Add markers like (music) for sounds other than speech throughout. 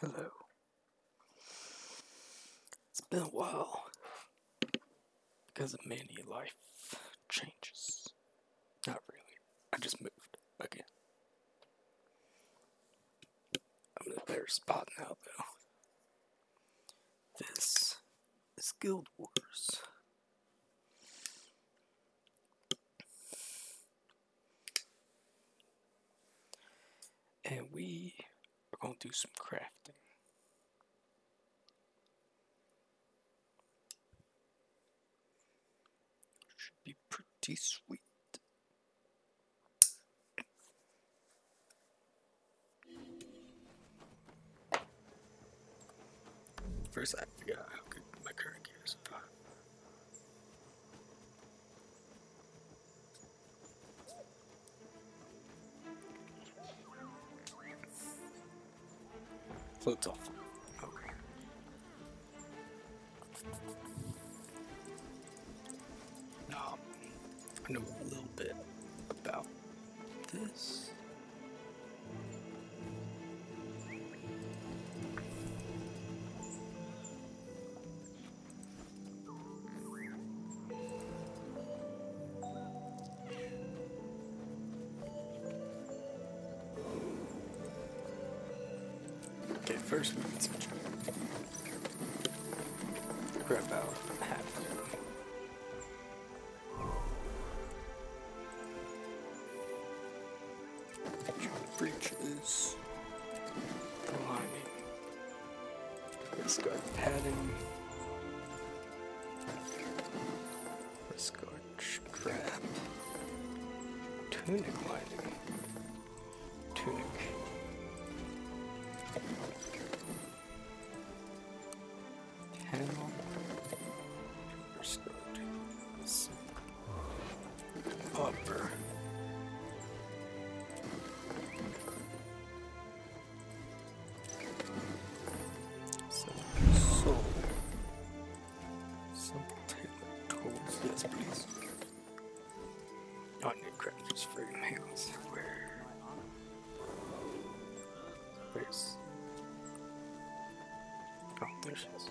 Hello. It's been a while because of many life changes. Not really. I just moved again. I'm in a better spot now, though. This is Guild Wars. And we are going to do some crafting. Should be pretty sweet. First, I figure out how good my current gear is. Floats off. I know a little bit about this. Okay, first we need some grab out half breeches, the lining. It's got padding. It's got strap, tunic lining, tunic. Panel, skirt, zipper. Upper. Solar. Some tailored yes please. Onion crackers for your meals. Where? Where's? Oh, there she is.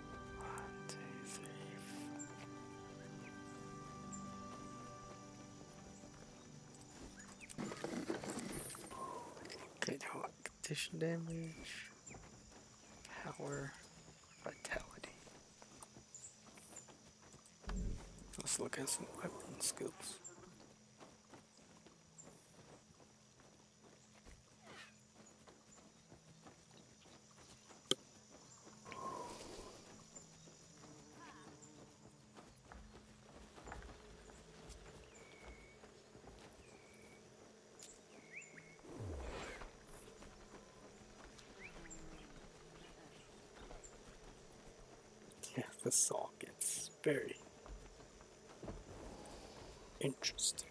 condition damage. Power. Vitality. Let's look at some weapon skills. Yeah, the song gets very interesting.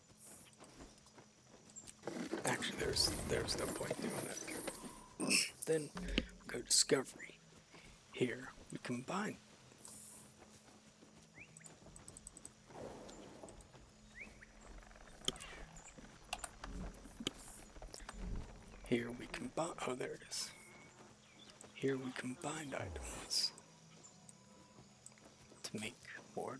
Actually, there's there's no point doing that. then we go discovery. Here we combine. Here we combine. Oh, there it is. Here we combined items to make more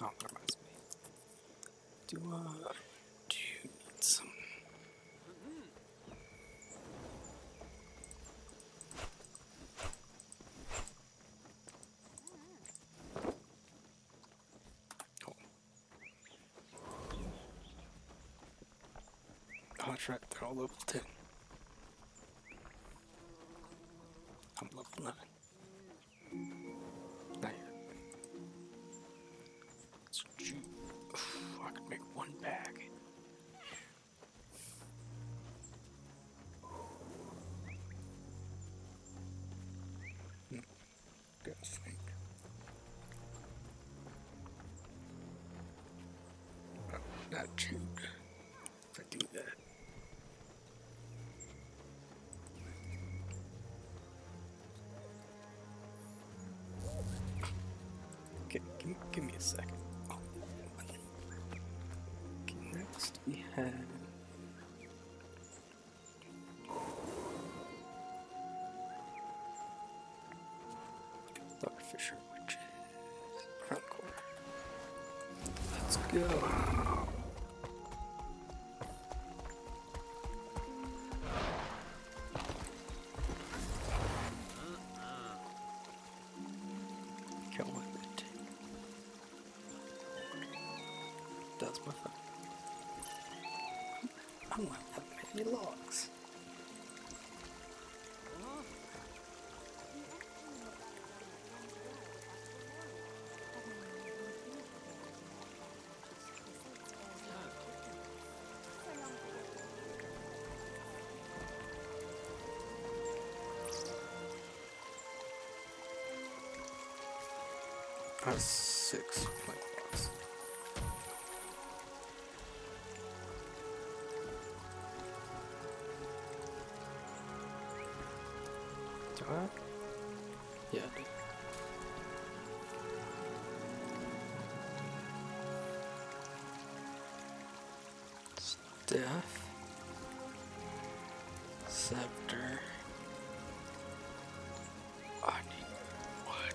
Oh, that reminds me. Do uh, do you need some? Oh. Oh, that's right. They're all level ten. I'm loving living. Not It's cheap. I could make one bag. Hmm. Oh, not chewed for doing that. Okay, give, me a second. next we have. Starfisher Witches. Let's go. Go with it. That's my phone. I don't have that many logs. That's six point blocks. What? Yeah. Staff. Scepter. I need wood.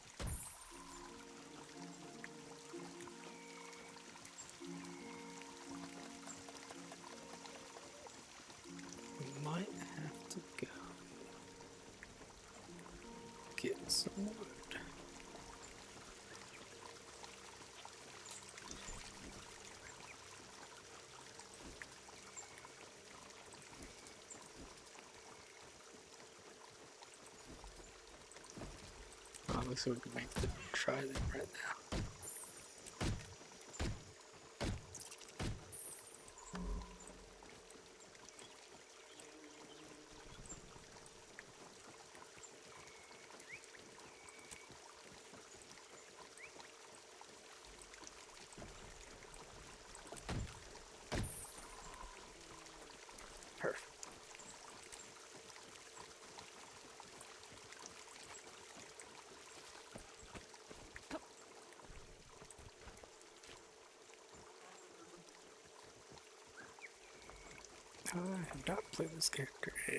We might have to go get some wood. Oh, looks like we can make the try them right now. Perfect. Uh, I have not played this character in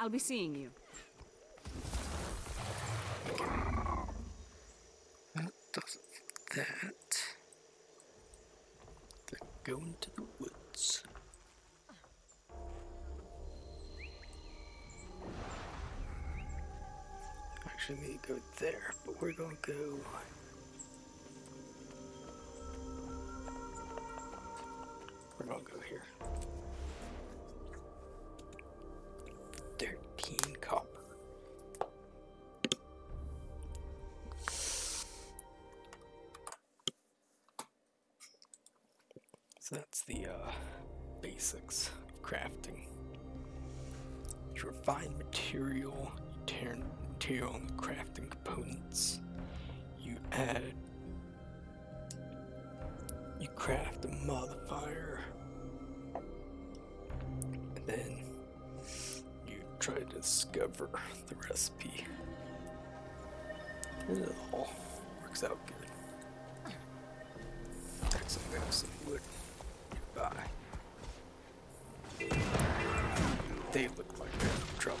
I'll be seeing you. That does that. They're going to the woods. Actually, we need to go there, but we're going to go We're gonna go here. 13 copper. So that's the uh, basics of crafting. You refine material, you tear material and crafting components. You add. You craft a modifier. And then you try to discover the recipe. It works out good. Looks some wood nearby. They look like they're in trouble.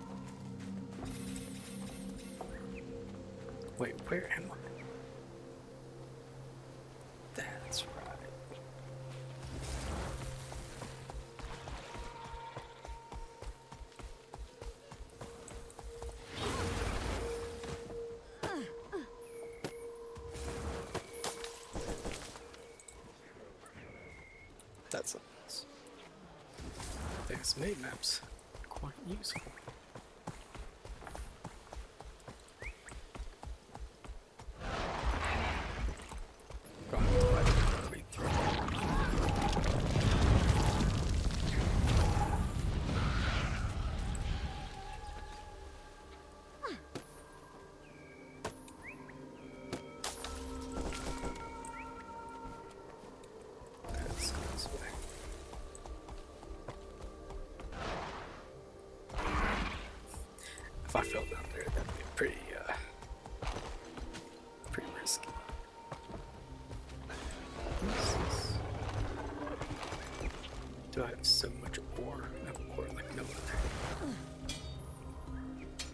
Wait, where am I? That's right. That's something There's made maps. Quite useful. That's this way. If I fell down there, that'd be pretty, uh, pretty risky. Do I have so much ore? I have ore like no other.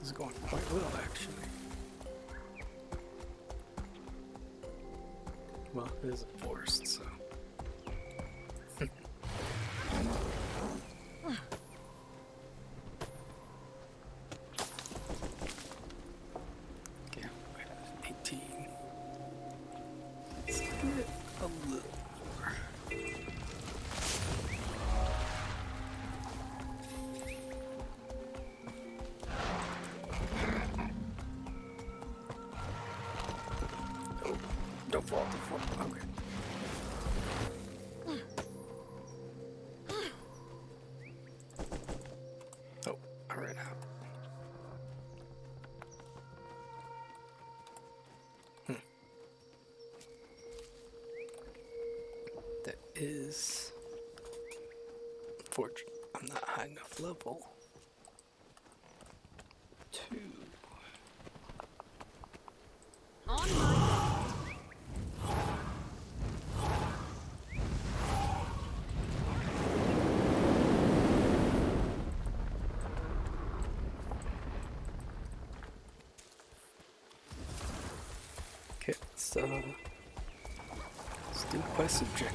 This is going quite well, actually. Well, it is a forest, so... (laughs) Let's do it a little more. not fall, don't fall. Okay. Oh, I ran uh, Hmm. That is fortune. I'm not high enough level. Two. Okay, so let's do quite subjective.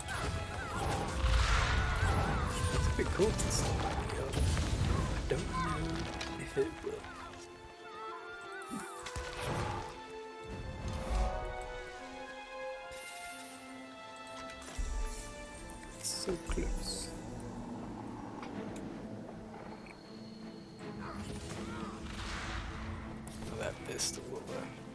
It's a bit cool to see. I don't know if it will. so close. That pistol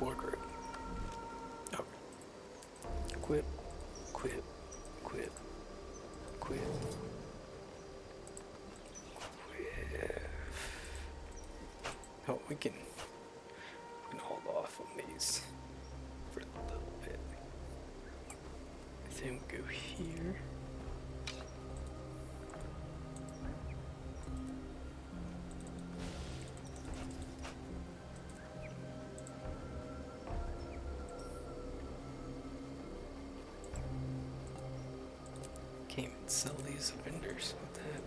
Wardrobe. Oh. Quip, quip, quip, quip. Quip. Oh, we can, we can hold off on these for a little bit. Then we go here. Can't even sell these vendors. What the heck?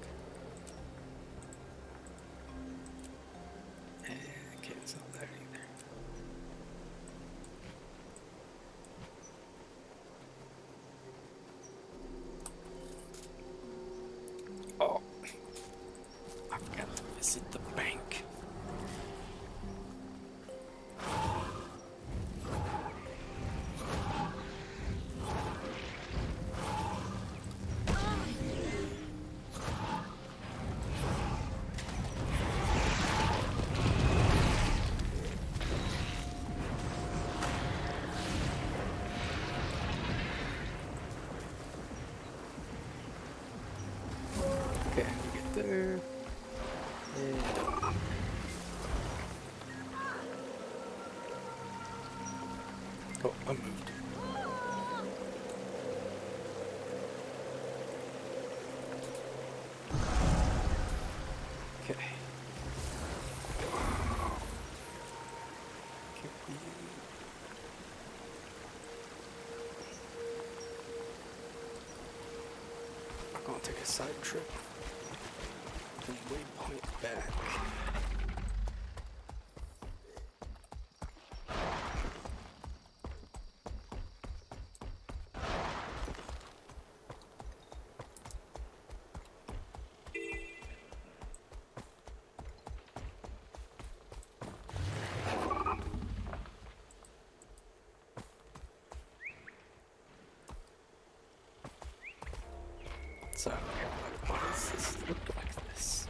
Eh, I can't sell that either. Oh, I have got to visit the bank. Okay, get there. Yeah. Oh, I moved. Okay. I'm gonna take a side trip and waypoint back. So, what does this look like this?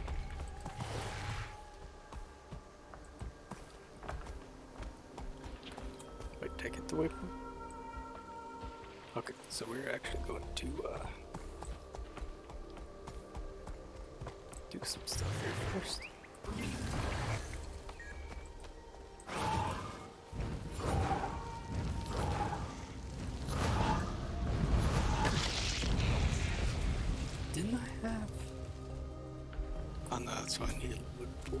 Wait, take it away from so we're actually going to uh, do some stuff here first. Didn't I have? Oh no, that's what I need wood for.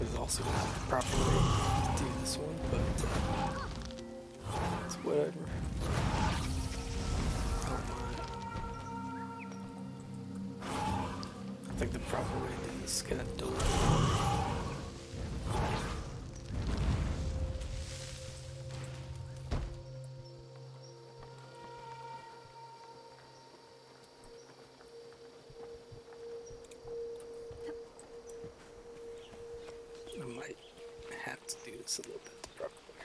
is also the proper way to do this one, but uh, whatever. I think the proper way to do this is gonna do it. I might have to do this a little bit the proper way.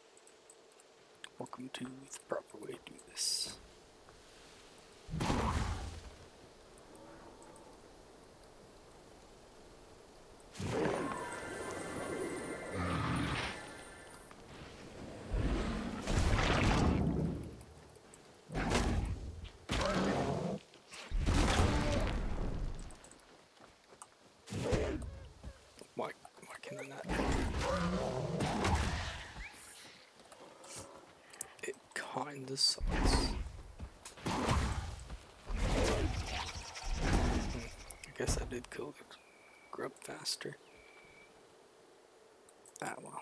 Welcome to the proper way to do this. Why, why can I not? It kinda sucks. I guess I did kill it. grub faster. Ah, well.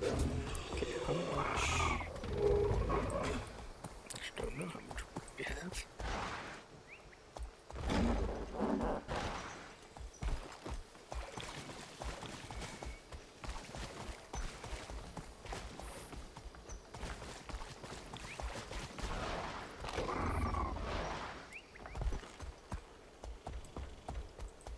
Okay, how much? I don't know how much we have.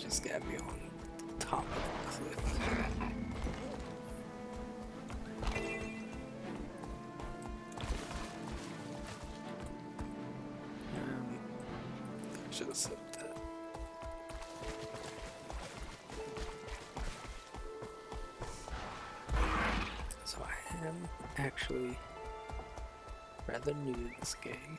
just get me on the top of the cliff. Um, should have said that. So I am actually rather new to this game.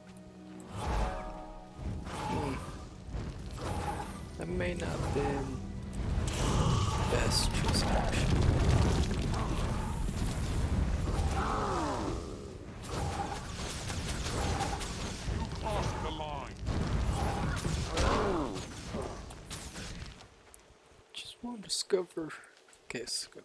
That may not have been best choice action. discover. Okay, discovered.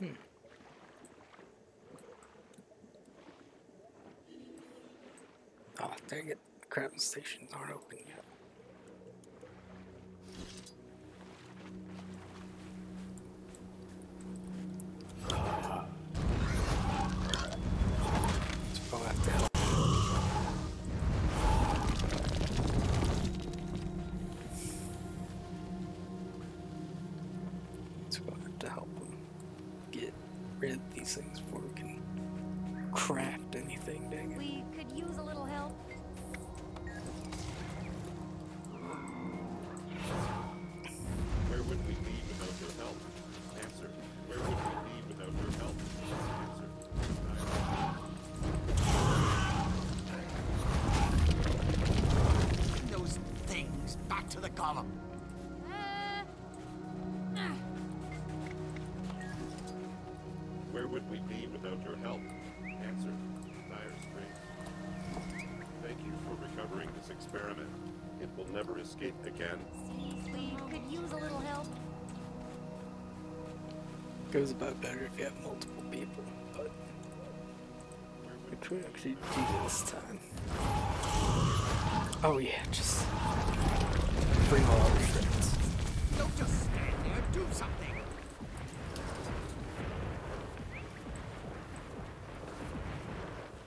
Hmm. Oh, dang it, the crab stations aren't open yet to help get rid of these things craft anything, dang it. We could use a little help. Where would we be without your help? Answer. Where would we be without your help? Answer. Those things! Back to the column! Where would we be without your help? Answer. Thank you for recovering this experiment. It will never escape again. Seaweed could use a little help. Goes about better if you have multiple people, but which we actually do this time. Oh yeah, just bring all our friends. Don't just stand there, do something.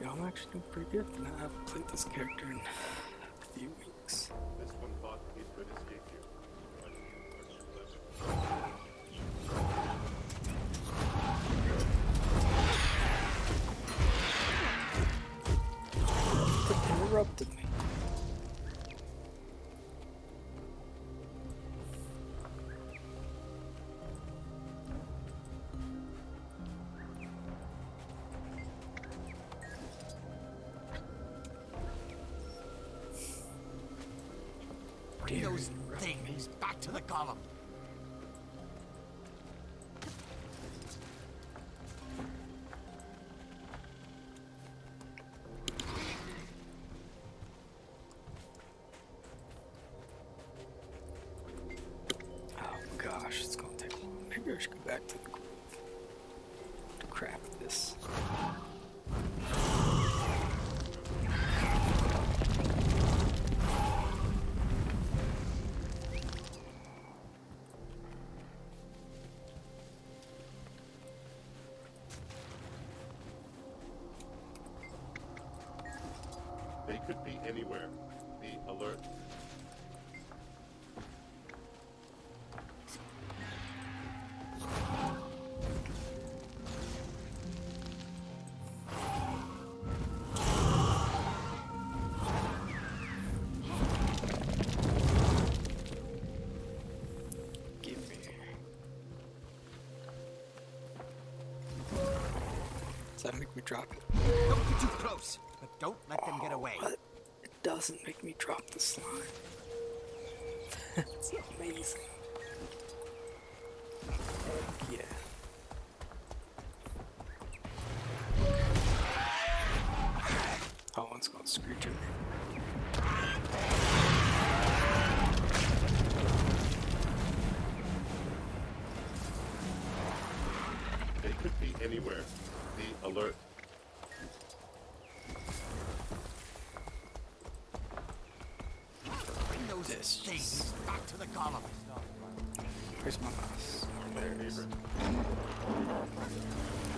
yeah, I'm actually doing pretty good And I haven't played this character in a few weeks. This Interrupted me. Bring those things back to the column. Oh gosh, it's gonna take long. Maybe I should go back to the groove to this. They could be anywhere. Be alert. Give me. Does that make me drop it? Don't get too close, but don't let them get away. It doesn't make me drop the slime. That's amazing. Yeah. That one's screw you. They could be anywhere. Be alert. Bring those things back to the column. Where's my mouse? There it is.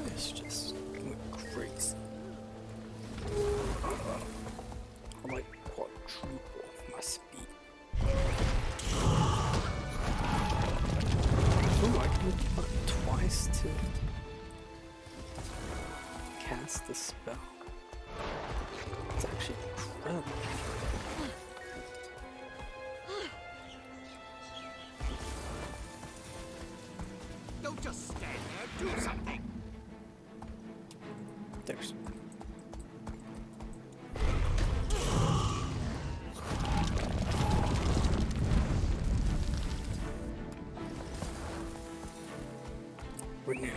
This just went crazy. I'm like quadruple Ooh, I can look twice to cast the spell. It's actually incredible. Don't just stand there, do something! There's. Renew. Renew.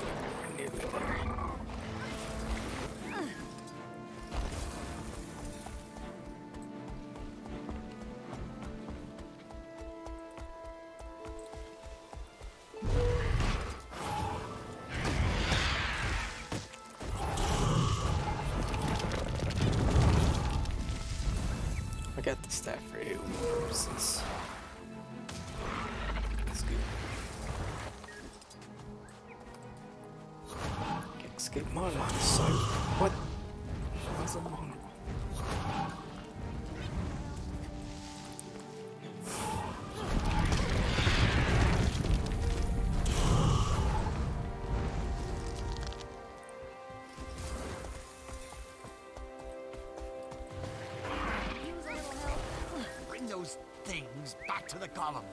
I got the staff for AoE That's good. escape my line What? Why's a mongrel? Bring those things back to the column.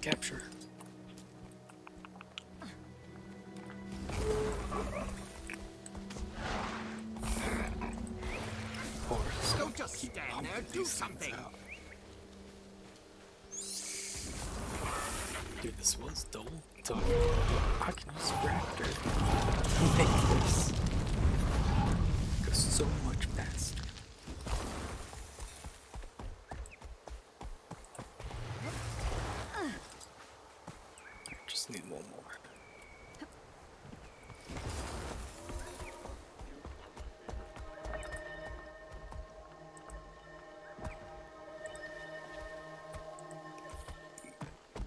Capture. Don't just stand there, do something! Dude, this was dull. So I can use Raptor to make this so much faster. I just need one more.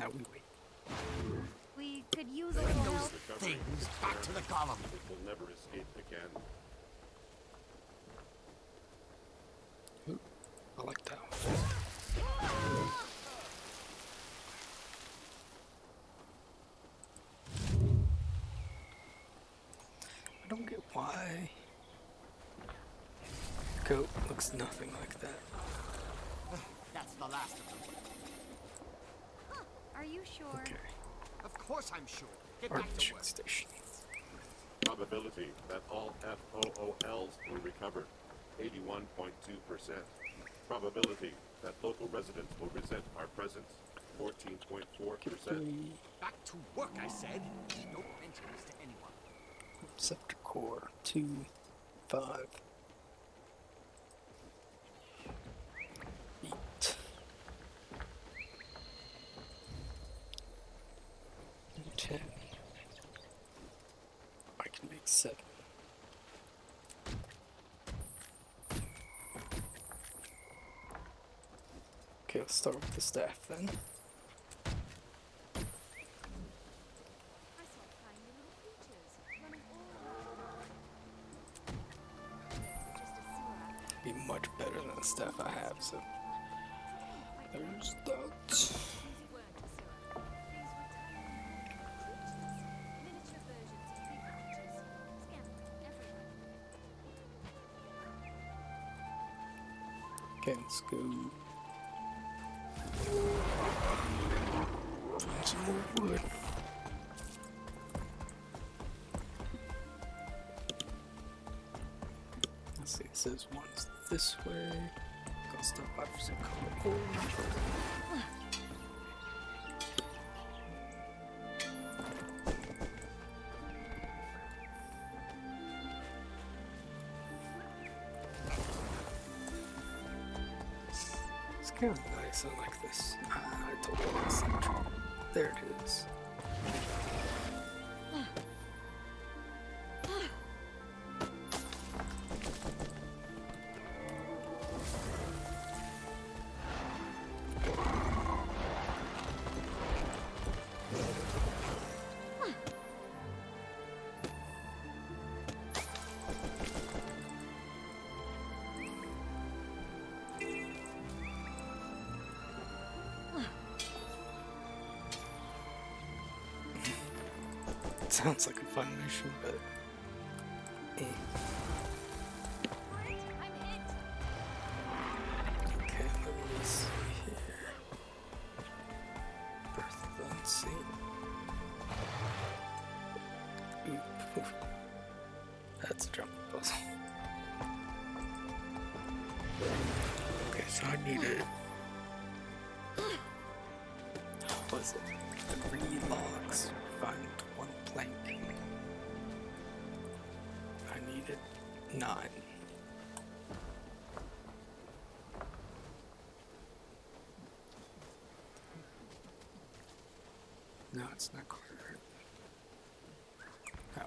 Now we wait. We could use a little help. Things back to the column. It will never escape again. Ooh, I like that. One. I don't get why goat looks nothing like that. That's the last of them. are you sure? Of course I'm sure. Get back to work. Station. Probability that all FOOLs were recovered, 81.2%. Probability that local residents will resent our presence. 14.4%. Back to work, I said. Don't to anyone. Scepter core, 2, I can make seven. Okay, let's start with the staff then. Be much better than the staff I have, so there's that. Okay, let's go. Find some more wood. Let's see, it says one's this way. Got stuff up for some coal. It's kind of nice. I like this. Uh, I told you it's central. There it is sounds like a fun mission, but Okay, let me see here. Birth Unseen. That's a jump Okay, so I need it. What was it? Three logs. Find one plank. I needed nine. No, it's not quite right.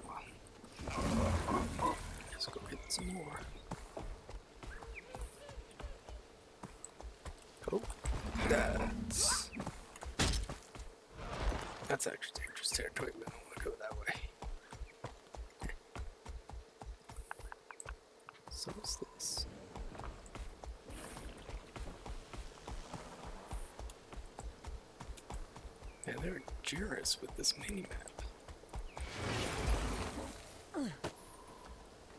Oh well. Let's go get some more. Oh, that's that's actually dangerous territory. I don't want to go that way. so what's this? Man, they're generous with this mini map.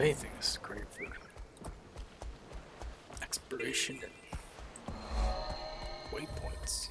Anything is great for exploration and waypoints.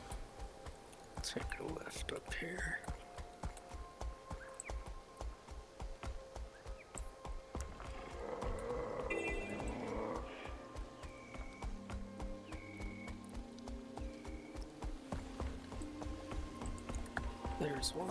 Take a left up here. There's one.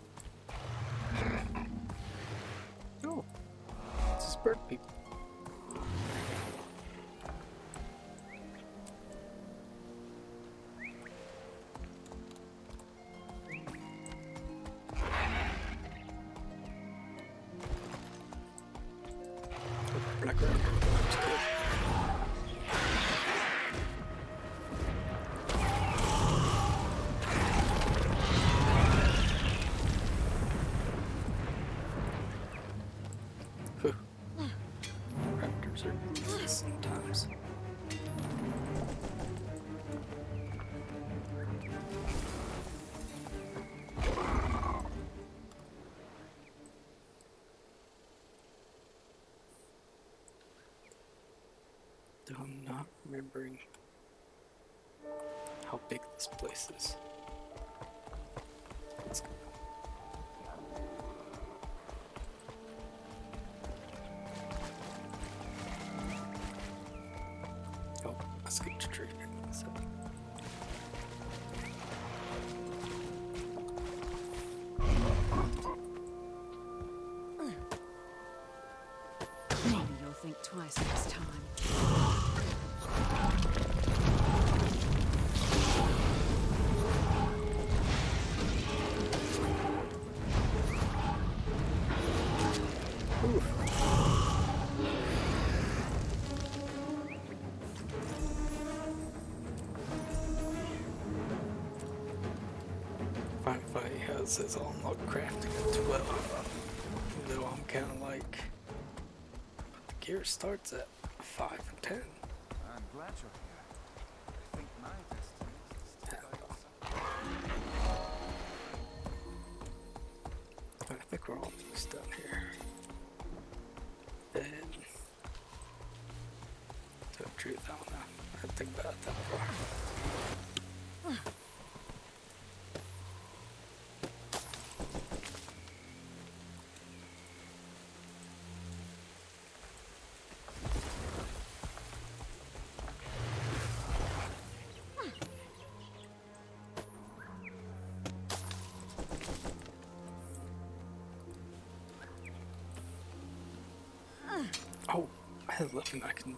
Oh, it's just bird people. Raptors are sometimes. I'm not remembering how big this place is. Oh, let's get to Maybe you'll think twice this time. Wi-Fi has his own crafting at 12. Though I'm kind of like, but the gear starts at 5 i think we're almost done here. And to truth, I don't know. I think about that far. (sighs) Oh, I have nothing I can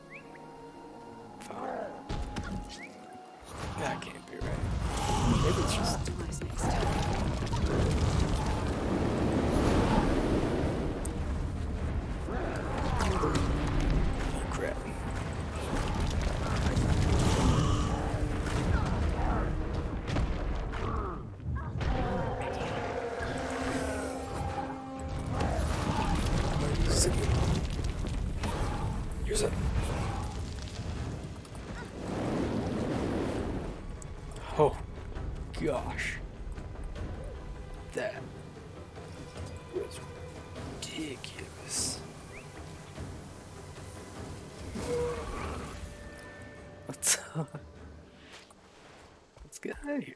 That can't be right. Maybe it's just. Oh crap. Use it. Oh, gosh. That was ridiculous. Let's, (laughs) let's get out of here.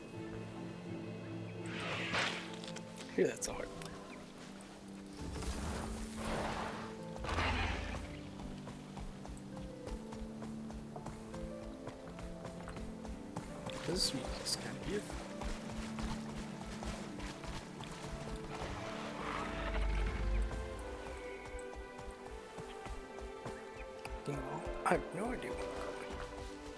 Here, that's so hard. This music's kind of beautiful. You I have no idea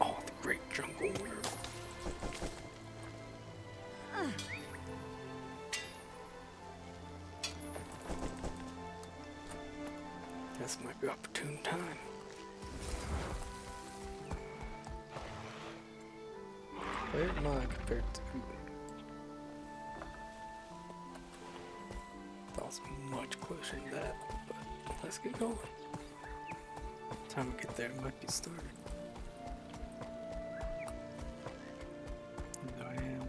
Oh, the great jungle world. This might be opportune time. Where am I compared to? That was much closer than that, but let's get going. Time to get there might be started. I am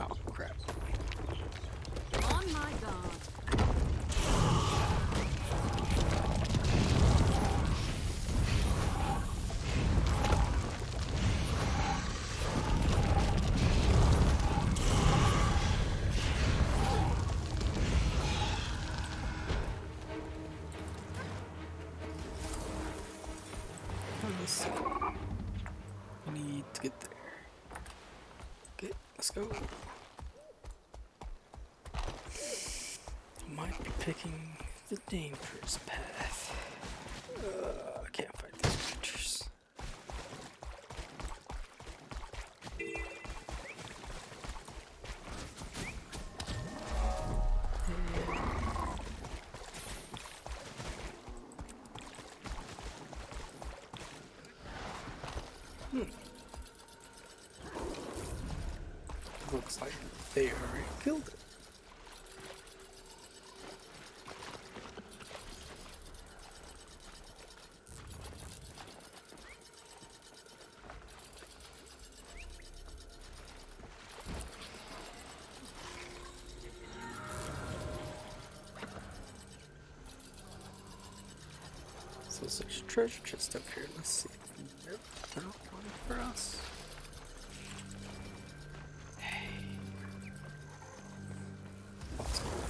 Oh, crap. On my guard. I need to get there. Okay, let's go. Might be picking the dangerous path. Uh, I can't fight these creatures. Hmm. Looks like they already killed it. So there's like a treasure chest up here. Let's see. Nope, not one for us. Hey. What's going on?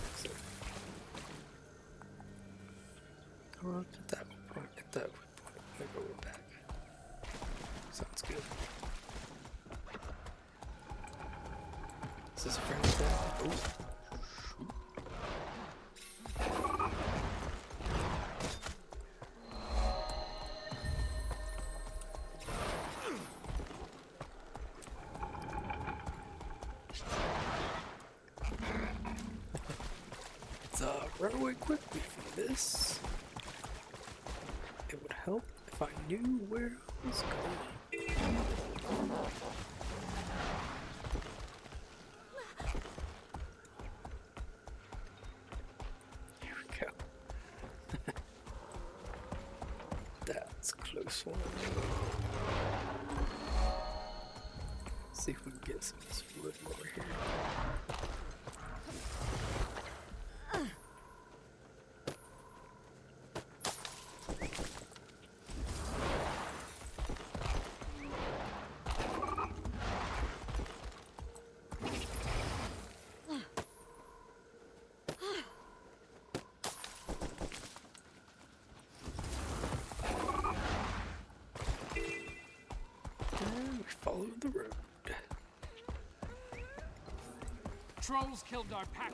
Come on, get that one Get that one point. Maybe we're back. Sounds good. Is this a friend? Let's oh. uh, run away quickly from this. It would help if I knew where I was going. Here we go. (laughs) That's a close one. see if we can get some of this wood over here follow the road. Trolls killed our pack.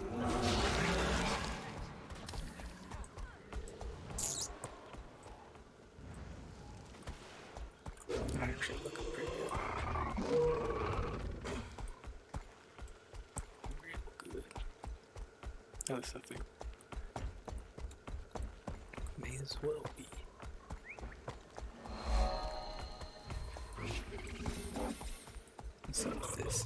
Actually looking pretty good. Real good. Oh, May as well be. So this.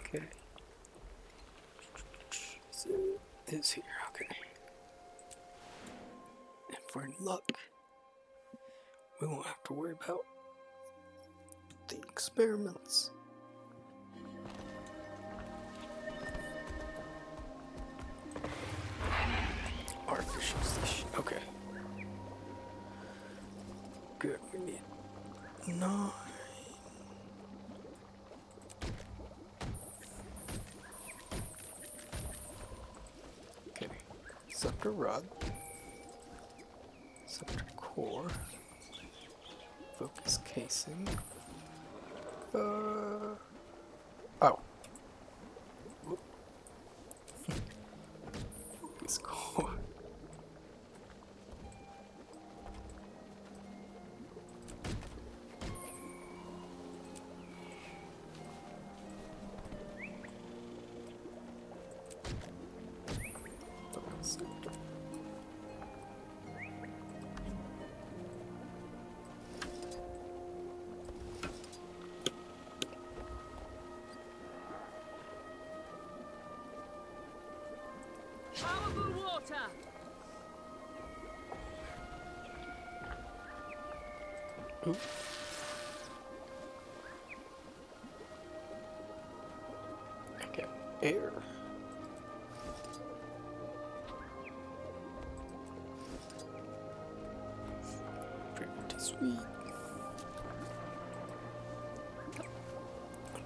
Okay. So this here. Okay. And for luck. We won't have to worry about the experiments. Artificial station. Okay. Good. We need nine. Okay. Scepter rod. Scepter core. Focus casing. Uh. Oh. Let's go. I got air. Pretty sweet.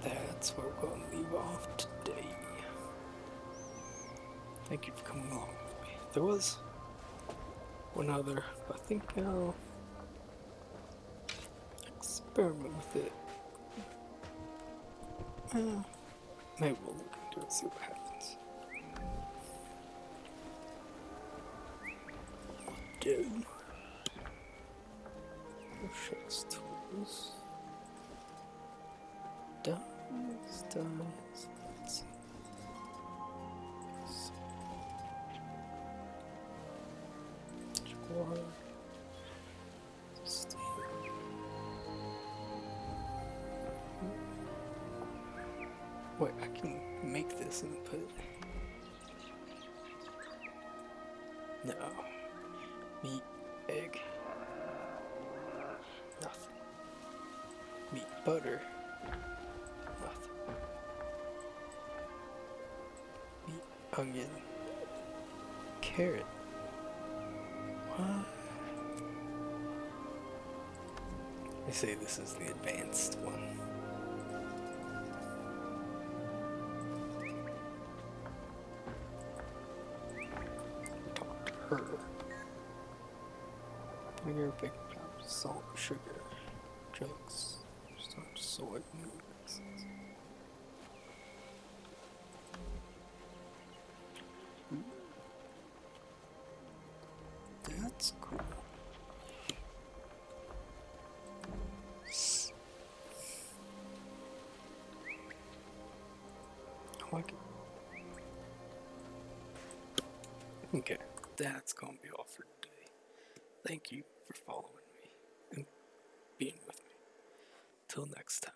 That's where we are going to leave off today. Thank you for coming along There was one other, I think I'll uh, experiment with it. Uh, Maybe we'll look it and see what happens. do? Oh, Shakes tools. Dies, dies. Let's Wait, I can make this and put it. No. Meat, egg. Nothing. Meat, butter. Nothing. Meat, onion. Carrot. What? They say this is the advanced one. Talk to her. Bigger salt, sugar, drugs, starch, soy, that's cool. I like it. Okay, that's gonna be all for today. Thank you for following me and being with me. Till next time.